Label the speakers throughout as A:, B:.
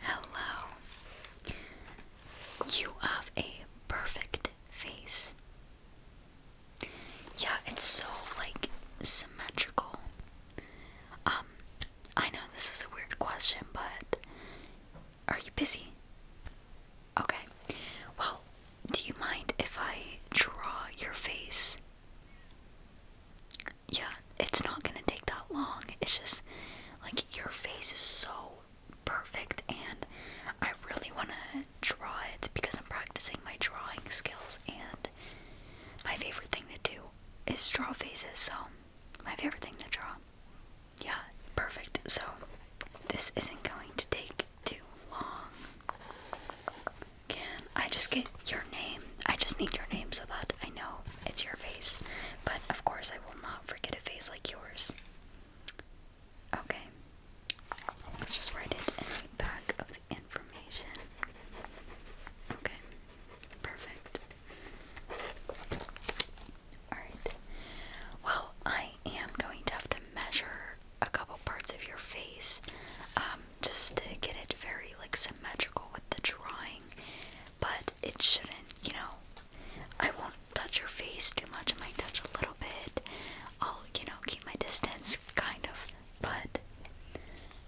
A: Hello. You have a perfect face. Yeah, it's so like symmetrical. Um, I know this is a weird question, but are you busy? Okay. Well, do you mind if I draw your face? yeah, it's not gonna take that long. It's just like your face is so perfect, and I really wanna draw it because I'm practicing my drawing skills, and my favorite thing to do is draw faces, so my favorite thing to draw. Yeah, perfect. So, this isn't going to take too long. Can I just get your name? I just need your name so that I know it's your face. But of course, I will not forget a face like yours. Okay. Let's just write it back of the information. Okay. Perfect. Alright. Well, I am going to have to measure a couple parts of your face. Um, just to get it very like symmetrical with the drawing. But it shouldn't, you know. I won't touch your face too much. I might touch a little bit. I'll, you know, keep my distance, kind of. But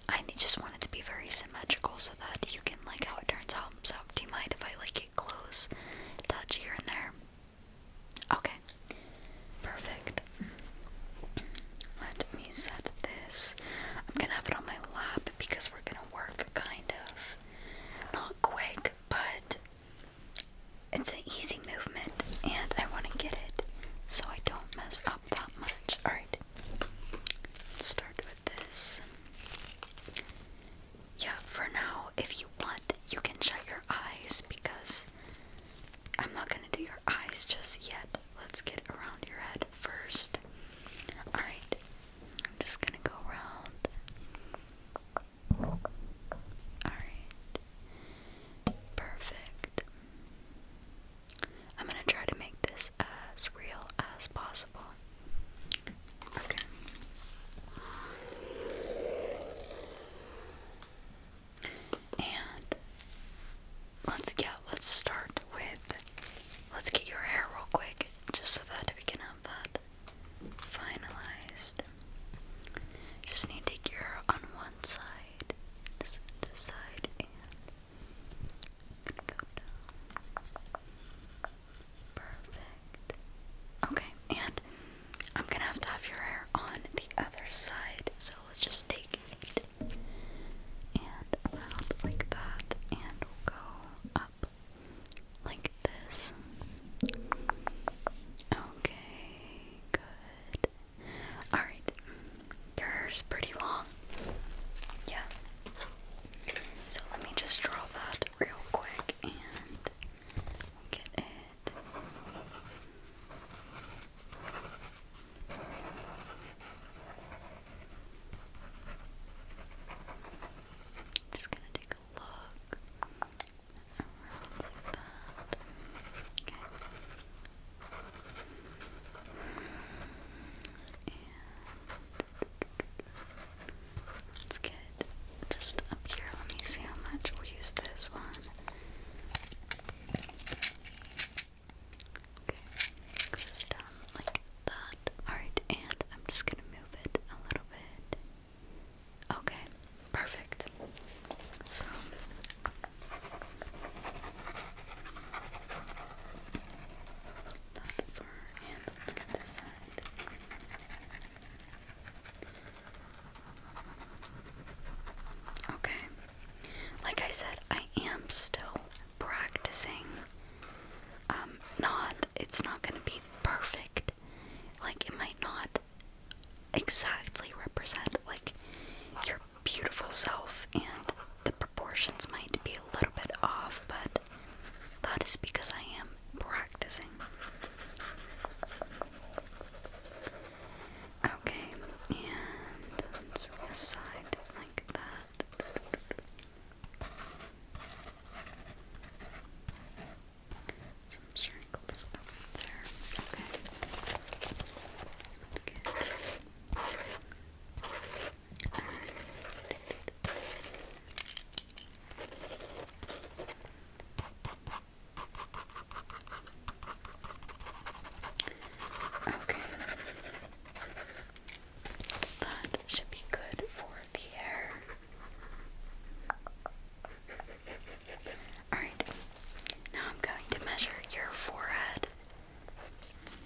A: I just want it to be very symmetrical so that you can like how it turns out. So, do you mind if I like get close, touch here and there? Okay, perfect. Let me set this. I'm gonna have it on my lap because we're gonna work kind of not quick, but it's an easy movement and I wanna get it so I don't mess up that much. Alright. start with this. Yeah, for now, if you want, you can shut your eyes because I'm not gonna do your eyes just yet. Let's get around your head first. Alright, I'm just gonna go around. Alright, perfect. I'm gonna try to make this as real as possible. Okay. And let's get let's start with let's get your hair real quick just so that we can have that finalized. Just need to take your on one side, just this side and Perfect. Okay, and I'm gonna have to have your hair on the other side, so let's just take it and around like that, and go up like this. Okay, good. Alright, yours pretty long. Yeah. So let me just draw that real quick and get it. I'm just gonna take a look Okay. let's get just up here. Let me see how much we'll use this one. Okay, goes like that. Alright, and I'm just gonna move it a little bit. Okay, perfect. So that fur, and let's get this side. Okay, like I said, I am still practicing. Um, not, it's not gonna be perfect. Like, it might not exactly represent, like, your beautiful self, and the proportions might be a little bit off, but that is because I am practicing. Okay, and side like that. Some shrinkles up there. Okay. Let's get it. Okay. That should be good for the hair. Alright, now I'm going to measure your forehead.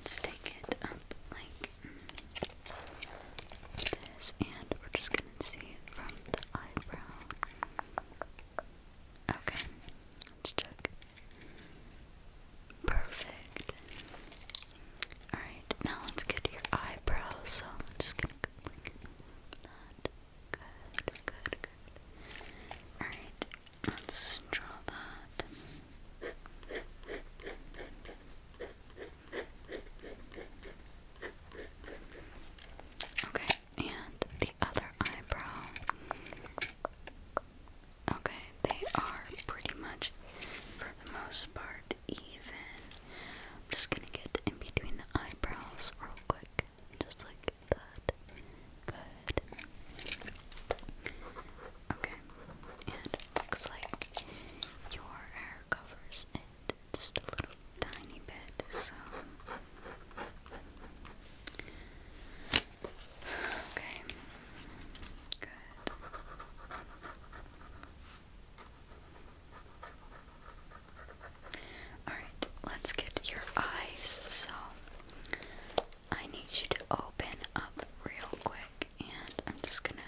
A: Let's take it up like this, and we're just gonna see it from the eyebrow. Okay, Perfect. Alright, now let's get your eyebrows. So I'm just gonna Good, good, good. Alright, let's draw that. Okay, and the other eyebrow. Okay, they are pretty much, for the most part, even. I'm just gonna get in between the eyebrows real quick, just like that. Good. Okay, and looks like your hair covers it just a little tiny bit, so okay, good. Alright, let's get your eyes. So, I need you to open up real quick, and I'm just gonna,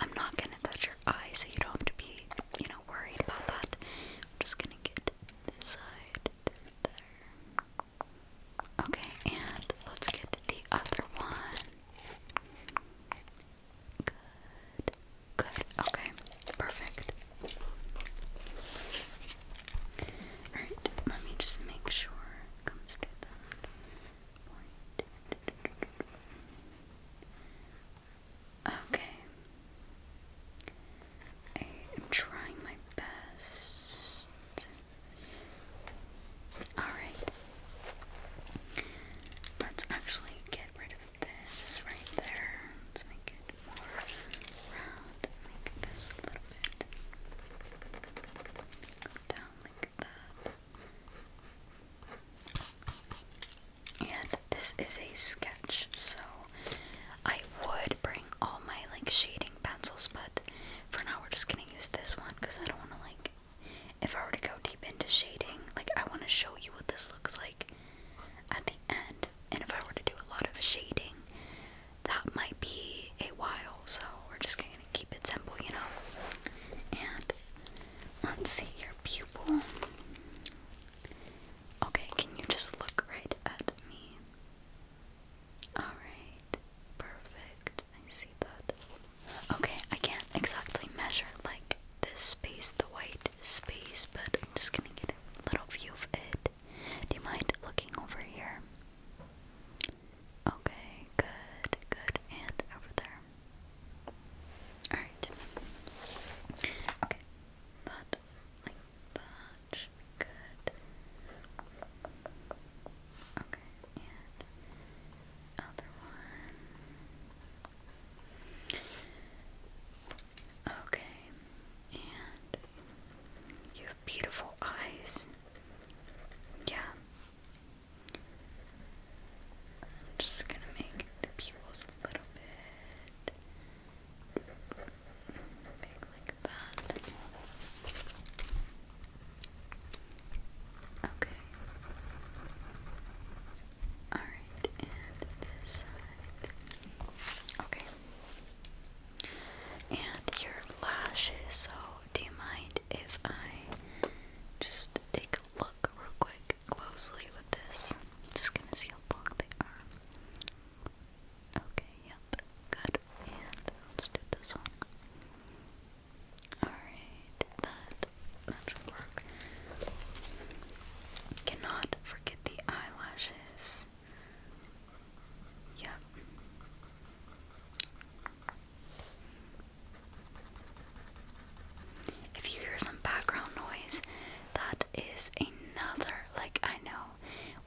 A: I'm not gonna touch your eyes so you don't have to be, you know, worried about that. I'm just gonna get this side Okay, and let's get the other one. Good. Good. Okay. Perfect. Alright, let me just make sure it comes to that point. Okay. I am trying my best. Alright. Let's actually get rid of this right there. Let's make it more round. Make this a little bit. Go down like that. And this is a sketch, so I would bring all my like shading pencils, but for now we're just gonna use this one because I don't wanna like if I were to go deep into shading, like I wanna show you what this looks like at the end. And if I were to do a lot of shading, that might be a while, so we're just gonna keep it simple, you know. And let's see your pupil. Okay, can you just look right at me? Alright, perfect. I see that. Okay, I can't exactly measure like this space, the white space, but I'm just gonna get a little view of it. Do you mind looking over here? Okay, good, good, and over there. Alright. Okay, that like that. Good. Okay, and other one. Okay, and you beautiful eyes. Yeah. just gonna make the pupils a little bit like that. Okay. Alright, and this side. Okay. And your lashes, so do you mind if I just take a look real quick? closely with this. just gonna see how long they are. Okay, yep, good. And let's do this one. Alright, that that should work. Cannot forget the eyelashes. Yep. If you hear some background noise, that is another like I know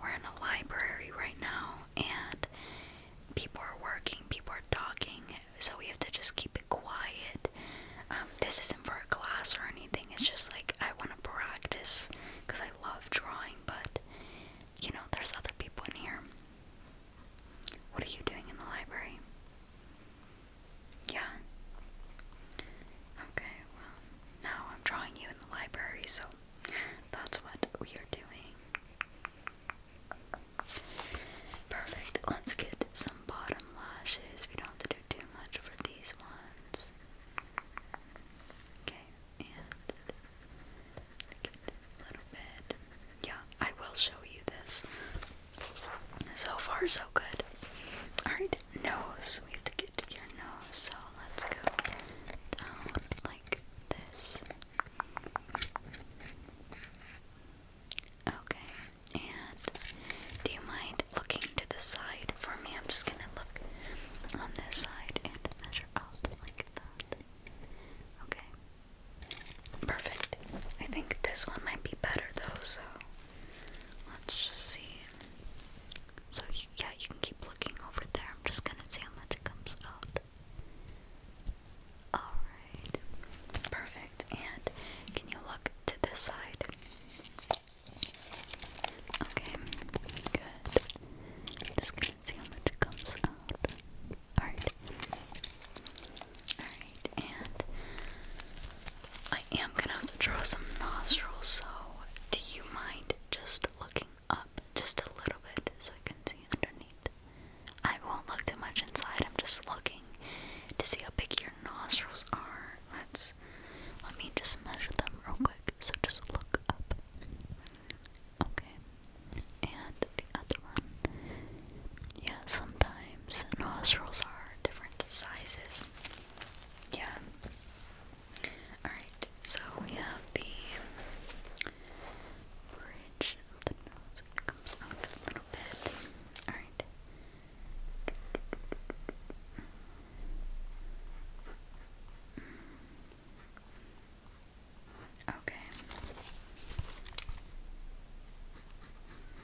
A: we're in a library right now and people are working, people are talking, so we have to just keep it quiet. Um, this isn't for a class or anything. It's just like I want to practice because I love drawing, but you know, there's other people in here. What are you doing in the library? Yeah. Okay, well, now I'm drawing you in the library, so that's what we are doing. Perfect. Let's get some bottom lashes. We don't have to do too much for these ones. Okay, and a little bit. Yeah, I will show you this so far, so good. Alright, nose. We have to get to your nose, so let's go down like this. Okay, and do you mind looking to the side for me? I'm just gonna look on this side and measure out like that. Okay, perfect. I think this one might be better though, so Let's just see. So, yeah, you can keep looking over there. I'm just gonna see how much it comes out. Alright. Perfect. And can you look to this side? Okay. Good. just gonna see how much it comes out. Alright. Alright, and I am gonna have to draw some nostrils, so do you mind just looking up just a little bit so I can see underneath? I won't look too much inside, I'm just looking to see how big your nostrils are. Let's let me just measure them real quick. So just look up. Okay. And the other one. Yeah, sometimes times. Nostrils are different sizes. Yeah. Alright, so we have the bridge of the nose. comes out a little bit. Alright. Okay.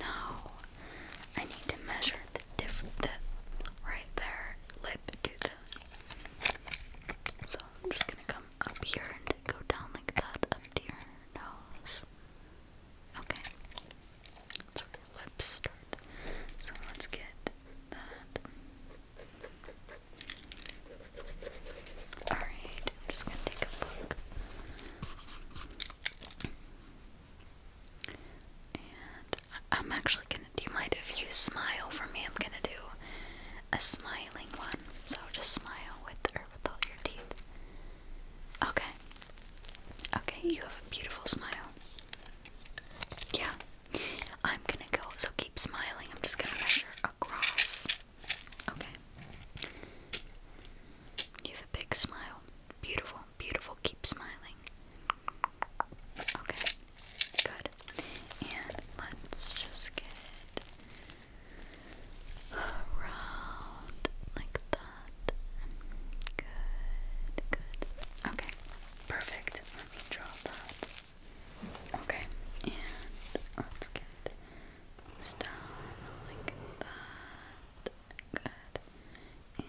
A: No, I need to measure the different the right there lip to the. So I'm just gonna come up here and go down like that up to your nose. Okay, that's where your lips start. So let's get that. Alright, I'm just gonna take a look. I'm actually gonna. Do you mind if you smile for me? I'm gonna do a smiling one. So just smile with or with your teeth. Okay. Okay, you have a beautiful smile. Yeah. I'm gonna go. So keep smiling. I'm just gonna measure across Okay. You have a big smile. Beautiful, beautiful. Keep smiling. Okay. Good. And let's just get around like that. Good, good. Okay. Perfect. Let me draw that. Okay. And let's get down like that. Good. And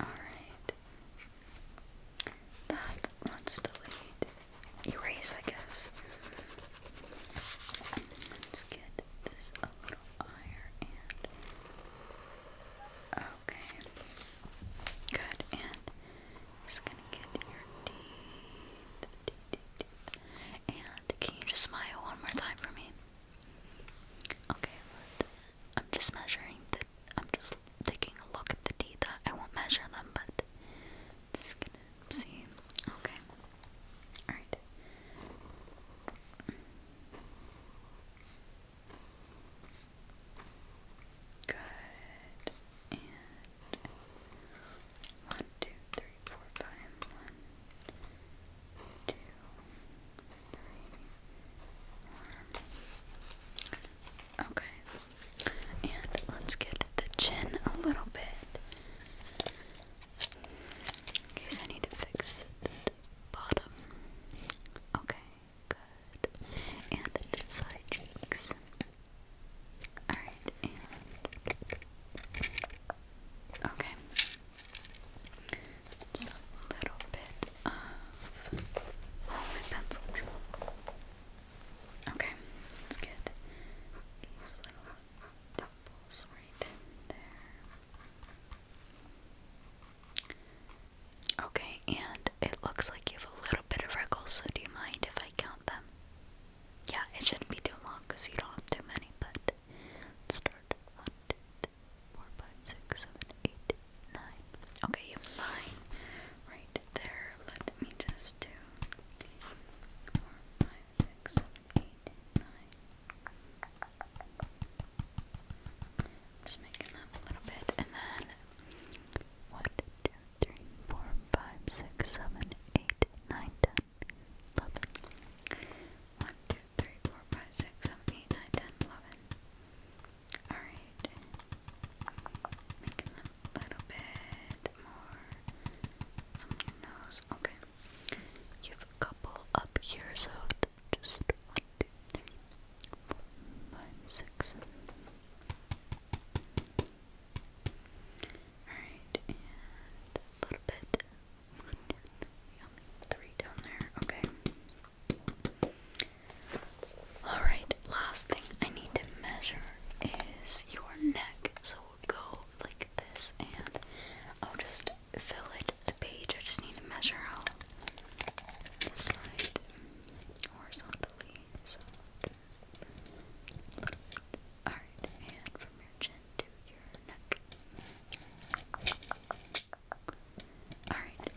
A: alright. That let's delete. Erase, I guess. Let's get this a little higher and okay. Good. And just gonna get your teeth. And can you just smile one more time for me? Okay, I'm just measuring the. I'm just taking a look at the teeth. I won't measure them, but just gonna see. Okay. Alright. Good and one, two, three, four, five, one, two, three, four. Okay, and let's get the chin a little bit in case I need to fix the bottom. Okay, good. And the side cheeks. Alright, and. Okay. a little bit of pencil. Okay, let's get these little dimples right there. Okay, and it looks like you have a little bit of wrinkles, so do you mind if I count them? Yeah, it shouldn't be too long because you don't have too many, but let's start. 1, 2, 3, 4, 5, 6, 7, 8, 9. Okay, you have 9 right there. Let me just do 4, 5, 6, 7, 8, 9. Just making them a little bit, and then 1, 2, three, four, five, six, seven, eight, nine, ten, eleven. One, two, three, four, five, six, seven, eight, nine, ten, eleven. Alright. Making them a little bit more on your nose. Okay. You have a couple up here, so just one, two, three, four, five, six, seven, eight, nine, ten, eleven. Alright, a little bit. One, two, three, three down there. Okay. Alright, last thing I need to measure is your neck. So we'll go like this and I'll just fill it the page. I just need to measure how the side horizontally. Alright,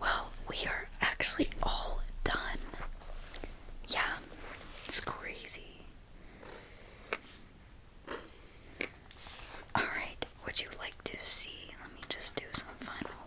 A: Well, we are actually all done. Yeah, it's crazy. Alright, would you like to see? Let me just do some final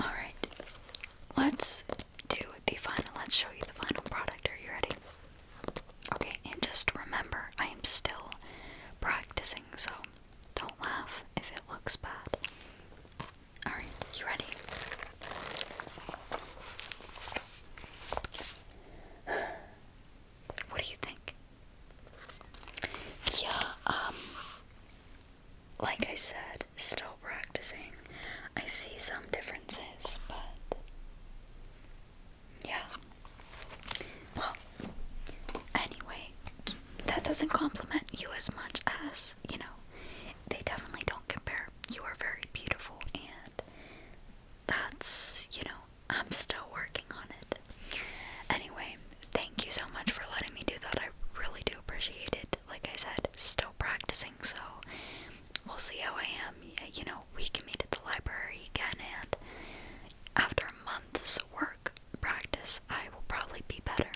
A: Alright, let's do the final. Let's show you the final product. Are you ready? Okay, and just remember, I am still practicing, so don't laugh if it looks bad. Alright, you ready? What do you think? Yeah, um, like I said, still practicing. I see some differences, but yeah. Well, anyway, that doesn't compliment you as much as, you know, they definitely don't compare. You are very beautiful, and that's, you know, I'm still working on it. Anyway, thank you so much for letting me do that. I really do appreciate it. Like I said, still practicing, so we'll see how I am. You know, we can meet at the library again, and after a month's work practice, I will probably be better.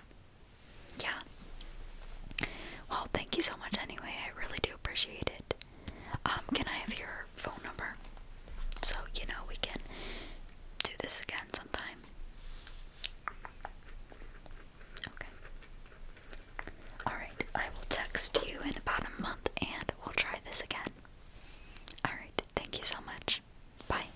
A: Yeah. Well, thank you so much anyway. I really do appreciate it. Um, can I have your phone number. So, you know, we can do this again sometime. Alright, I will text you in about a month and we'll try this again. Alright, thank you so much. Bye.